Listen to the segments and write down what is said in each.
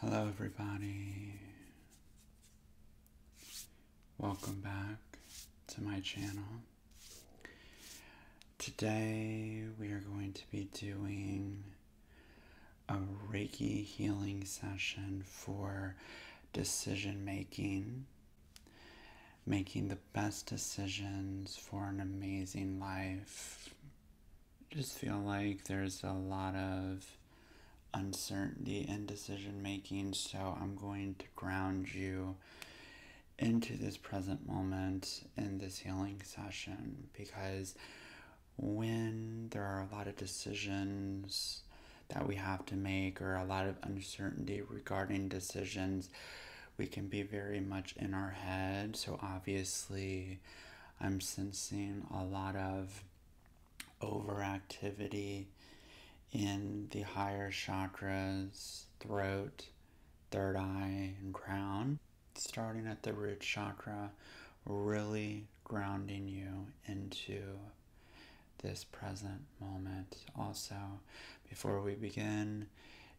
Hello, everybody. Welcome back to my channel. Today, we are going to be doing a Reiki healing session for decision making, making the best decisions for an amazing life just feel like there's a lot of uncertainty in decision making, so I'm going to ground you into this present moment in this healing session because when there are a lot of decisions that we have to make or a lot of uncertainty regarding decisions, we can be very much in our head. So, obviously, I'm sensing a lot of overactivity in the higher chakras, throat, third eye, and crown. Starting at the root chakra, really grounding you into this present moment. Also, before we begin,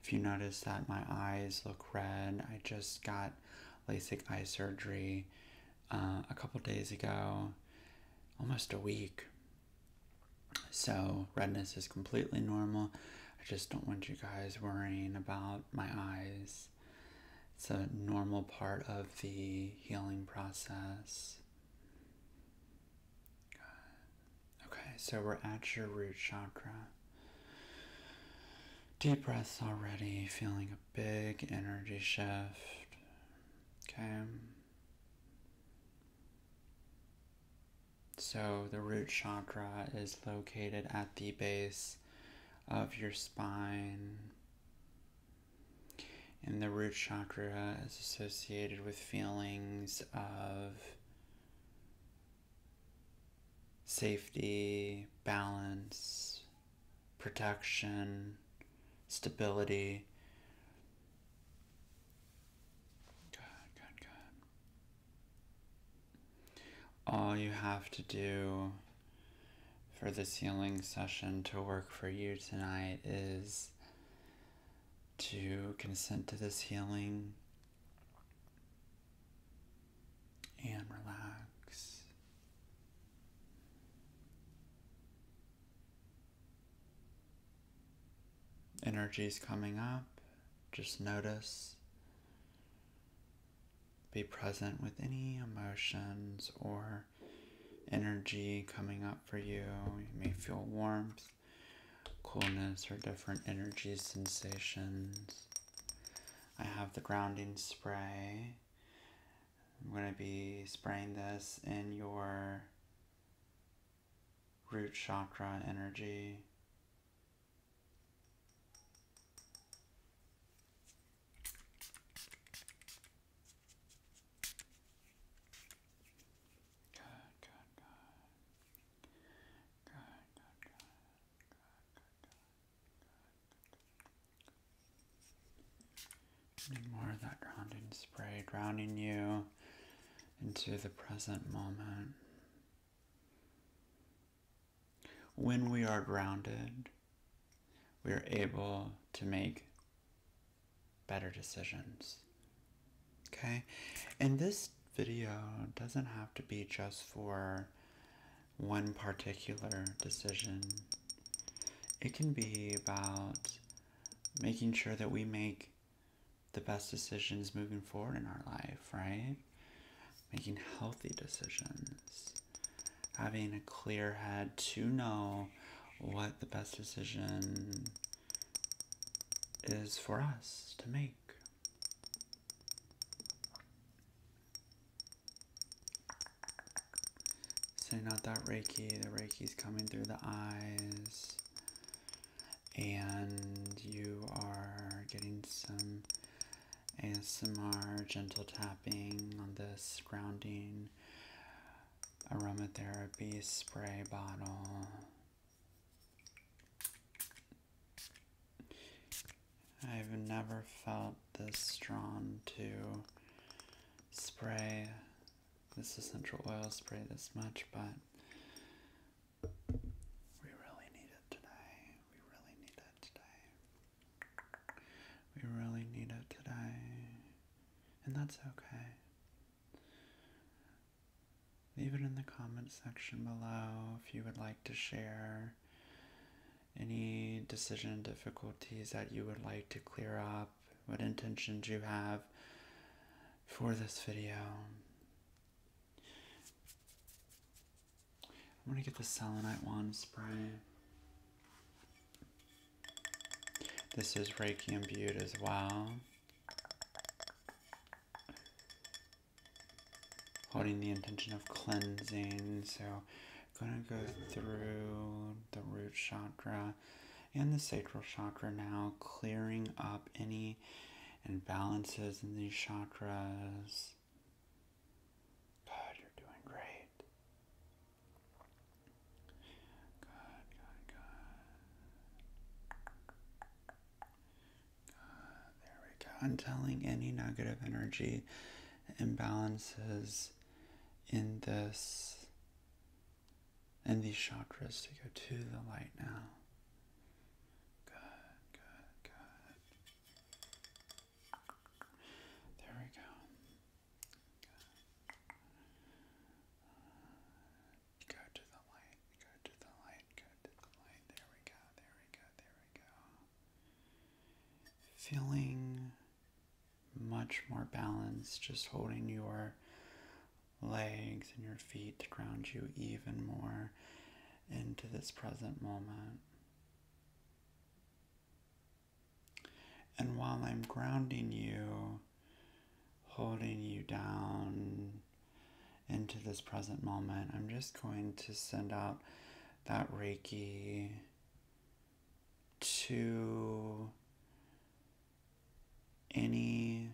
if you notice that my eyes look red, I just got LASIK eye surgery uh, a couple days ago, almost a week. So, redness is completely normal. I just don't want you guys worrying about my eyes. It's a normal part of the healing process. Okay, so we're at your root chakra. Deep breaths already, feeling a big energy shift. Okay. So, the root chakra is located at the base of your spine. And the root chakra is associated with feelings of safety, balance, protection, stability. Good, good, good. All you have to do for this healing session to work for you tonight is to consent to this healing and relax. Energy is coming up, just notice. Be present with any emotions or energy coming up for you. You may feel warmth, coolness, or different energy sensations. I have the grounding spray. I'm going to be spraying this in your root chakra energy more of that grounding spray, grounding you into the present moment. When we are grounded, we are able to make better decisions. Okay? And this video doesn't have to be just for one particular decision. It can be about making sure that we make the best decisions moving forward in our life, right? Making healthy decisions, having a clear head to know what the best decision is for us to make, so not that Reiki, the Reiki is coming through the eyes. And you are getting some and some more gentle tapping on this grounding aromatherapy spray bottle. I've never felt this strong to spray this essential oil spray this much, but we really need it today. We really need it today. We really need it today. And that's okay. Leave it in the comment section below if you would like to share any decision difficulties that you would like to clear up, what intentions you have for this video. I'm gonna get the selenite wand spray. This is Reiki imbued as well holding the intention of cleansing. So I'm gonna go through the root chakra and the sacral chakra now, clearing up any imbalances in these chakras. Good, you're doing great. Good, good, good there we go. I'm telling any negative energy imbalances in this in these chakras to go to the light now. Good, good, good. There we go. Go to the light, go to the light, go to the light. There we go, there we go, there we go feeling much more balanced, just holding your legs and your feet to ground you even more into this present moment. And while I'm grounding you, holding you down into this present moment, I'm just going to send out that Reiki to any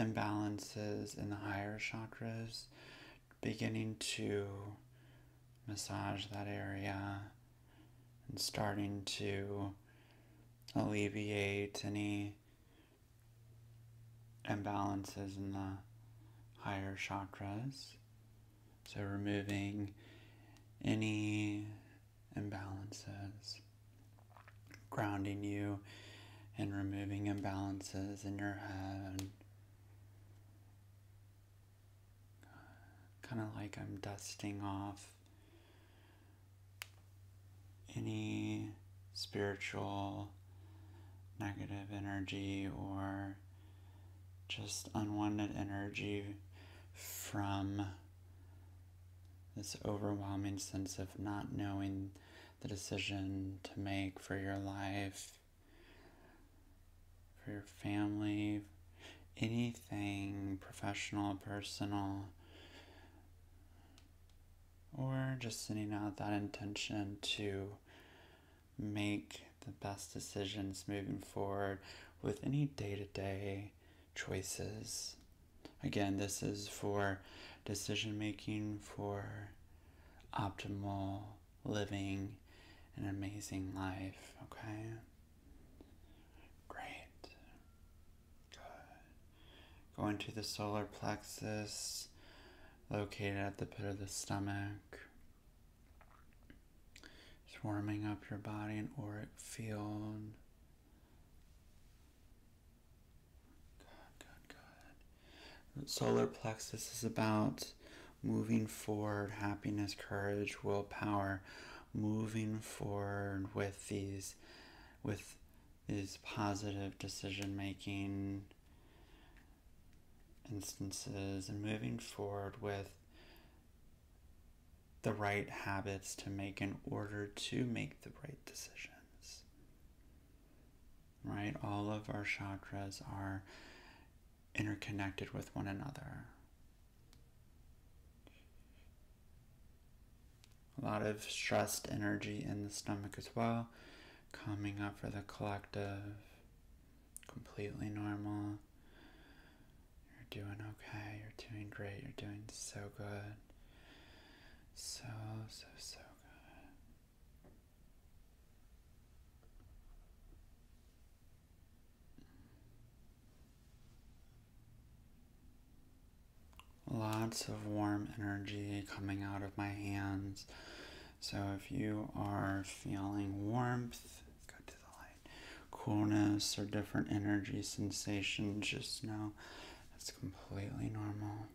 imbalances in the higher chakras, beginning to massage that area and starting to alleviate any imbalances in the higher chakras. So, removing any imbalances, grounding you, and removing imbalances in your head. Kind of like I'm dusting off any spiritual negative energy or just unwanted energy from this overwhelming sense of not knowing the decision to make for your life, for your family, anything professional, personal, or just sending out that intention to make the best decisions moving forward with any day to day choices. Again, this is for decision making for optimal living and amazing life, okay? Great. Good. Going to the solar plexus, located at the pit of the stomach. It's warming up your body and auric field. Good, good, good. Solar plexus is about moving forward, happiness, courage, willpower, moving forward with these, with these positive decision making instances and moving forward with the right habits to make in order to make the right decisions. Right? All of our chakras are interconnected with one another. A lot of stressed energy in the stomach as well, coming up for the collective completely normal. You're doing okay, you're doing great, you're doing so good. So, so, so good. Lots of warm energy coming out of my hands so if you are feeling warmth, coolness, or different energy sensations, just know it's completely normal.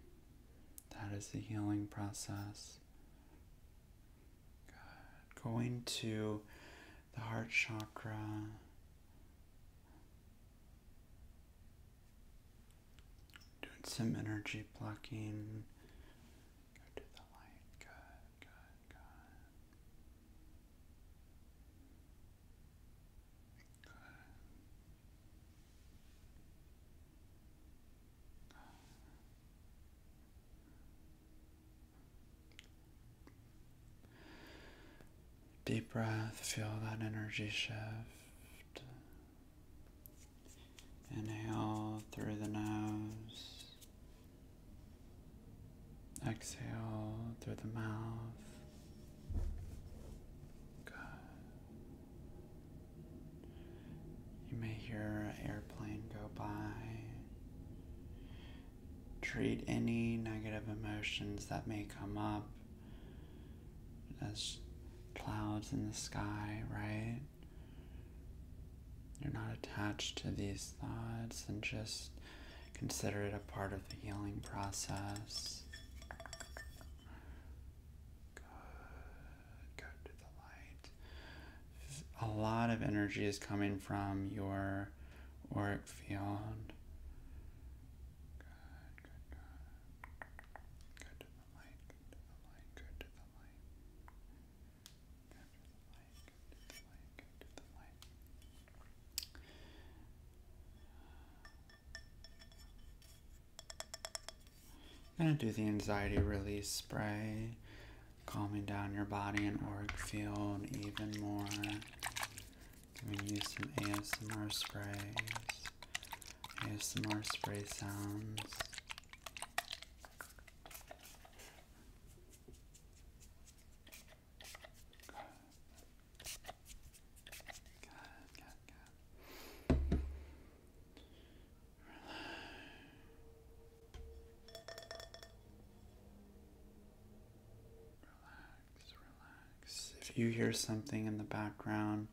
That is the healing process. Going to the heart chakra. Doing some energy blocking. Deep breath, feel that energy shift. Inhale through the nose. Exhale through the mouth. Good. You may hear an airplane go by. Treat any negative emotions that may come up as clouds in the sky, right? You're not attached to these thoughts and just consider it a part of the healing process. go to the light. A lot of energy is coming from your auric field. I'm gonna do the anxiety release spray, calming down your body and auric feel even more. Gonna use some ASMR sprays, ASMR spray sounds. If you hear something in the background,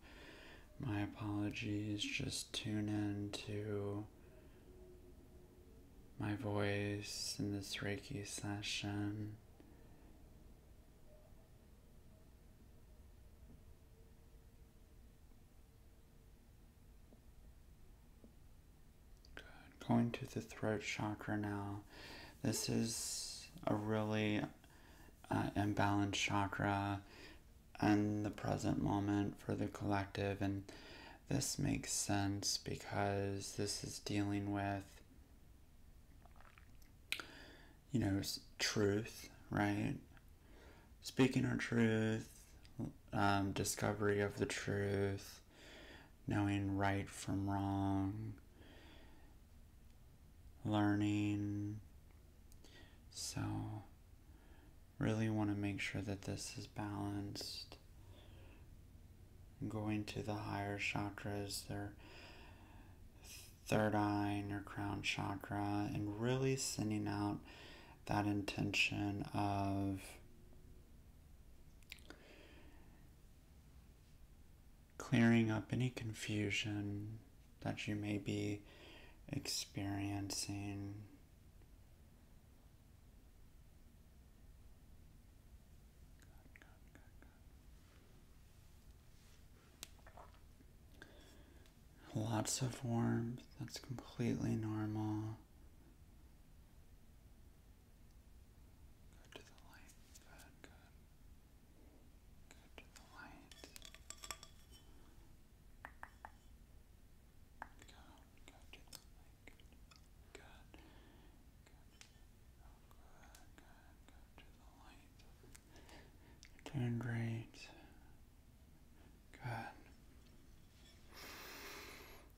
my apologies, just tune in to my voice in this Reiki session. Good. Going to the throat chakra now. This is a really uh, imbalanced chakra and the present moment for the collective. And this makes sense because this is dealing with, you know, truth, right? Speaking our truth, um, discovery of the truth, knowing right from wrong, learning, so, really want to make sure that this is balanced. Going to the higher chakras, their third eye and your crown chakra, and really sending out that intention of clearing up any confusion, that you may be experiencing. Lots of warmth, that's completely normal. You're doing great. Good.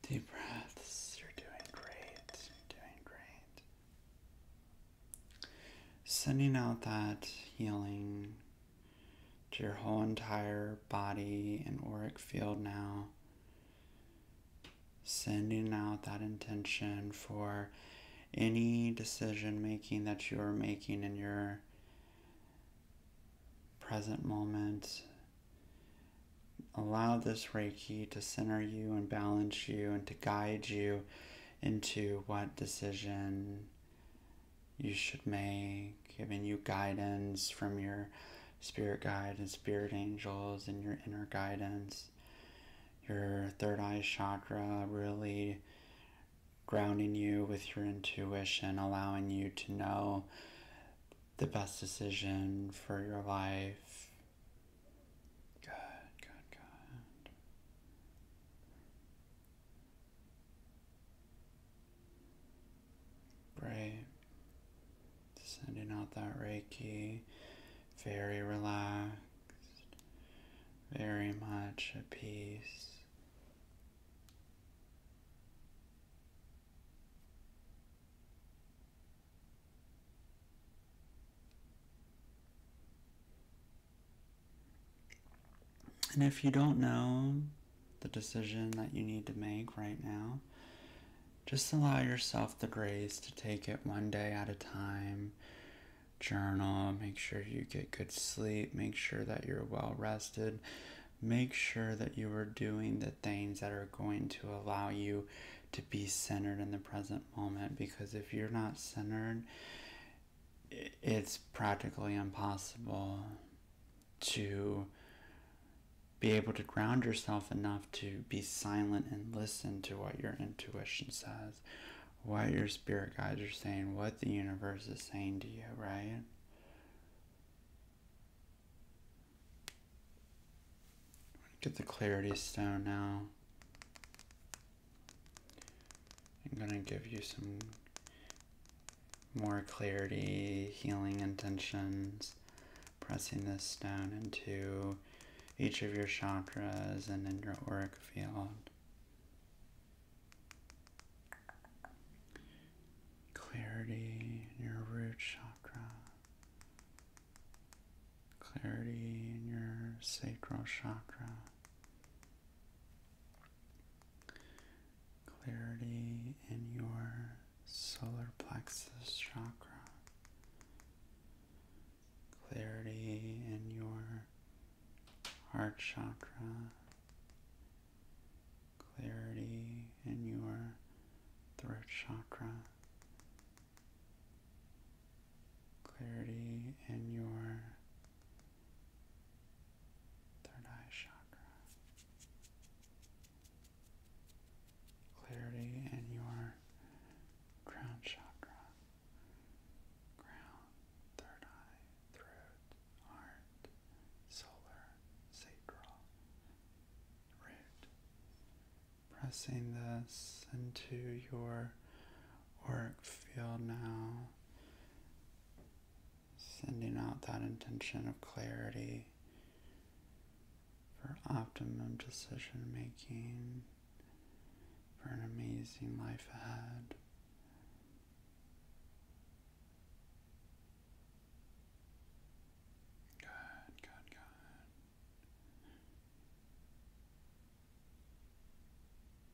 Deep breaths. You're doing great. You're doing great. Sending out that healing to your whole entire body and auric field now. Sending out that intention for any decision making that you are making in your present moment. Allow this Reiki to center you and balance you and to guide you into what decision you should make, giving you guidance from your spirit guide and spirit angels and your inner guidance. Your third eye chakra really grounding you with your intuition, allowing you to know the best decision for your life. Good, good, good. Great. Sending out that Reiki. Very relaxed. Very much at peace. And if you don't know the decision that you need to make right now, just allow yourself the grace to take it one day at a time. Journal, make sure you get good sleep, make sure that you're well rested, make sure that you are doing the things that are going to allow you to be centered in the present moment. Because if you're not centered, it's practically impossible to be able to ground yourself enough to be silent and listen to what your intuition says, what your spirit guides are saying, what the universe is saying to you, right? Get the clarity stone now. I'm gonna give you some more clarity, healing intentions, pressing this down into each of your chakras and in your auric field. Clarity in your root chakra, clarity in your sacral chakra, clarity in your solar plexus chakra, clarity in your heart chakra, clarity in your throat chakra, clarity in your third eye chakra. Clarity in your crown chakra. Crown, third eye, throat, heart, solar, sacral, root. Pressing this into your auric field now. Sending out that intention of clarity for optimum decision making, for an amazing life ahead. Good, good, good.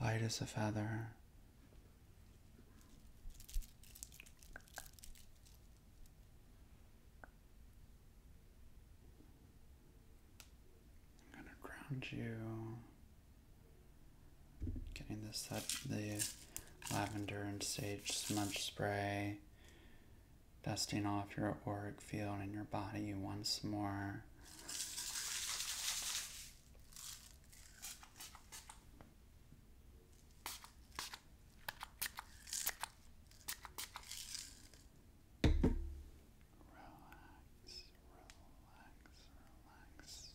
light as a feather. I'm gonna ground you. Getting this up the lavender and sage smudge spray, dusting off your auric field and your body once more. Relax, relax, relax.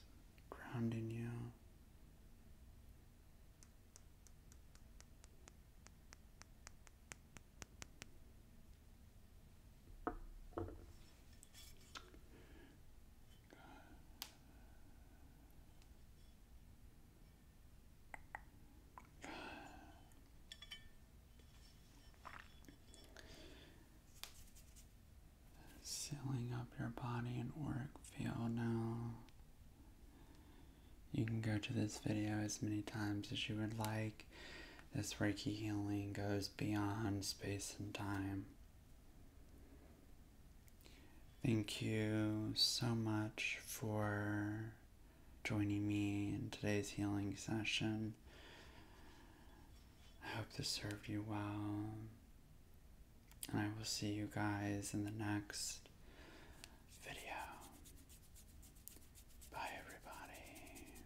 Grounding you. Relax, Sealing up your body and work field now. You can go to this video as many times as you would like. This Reiki healing goes beyond space and time. Thank you so much for joining me in today's healing session. I hope this served you well. And I will see you guys in the next video. Bye, everybody.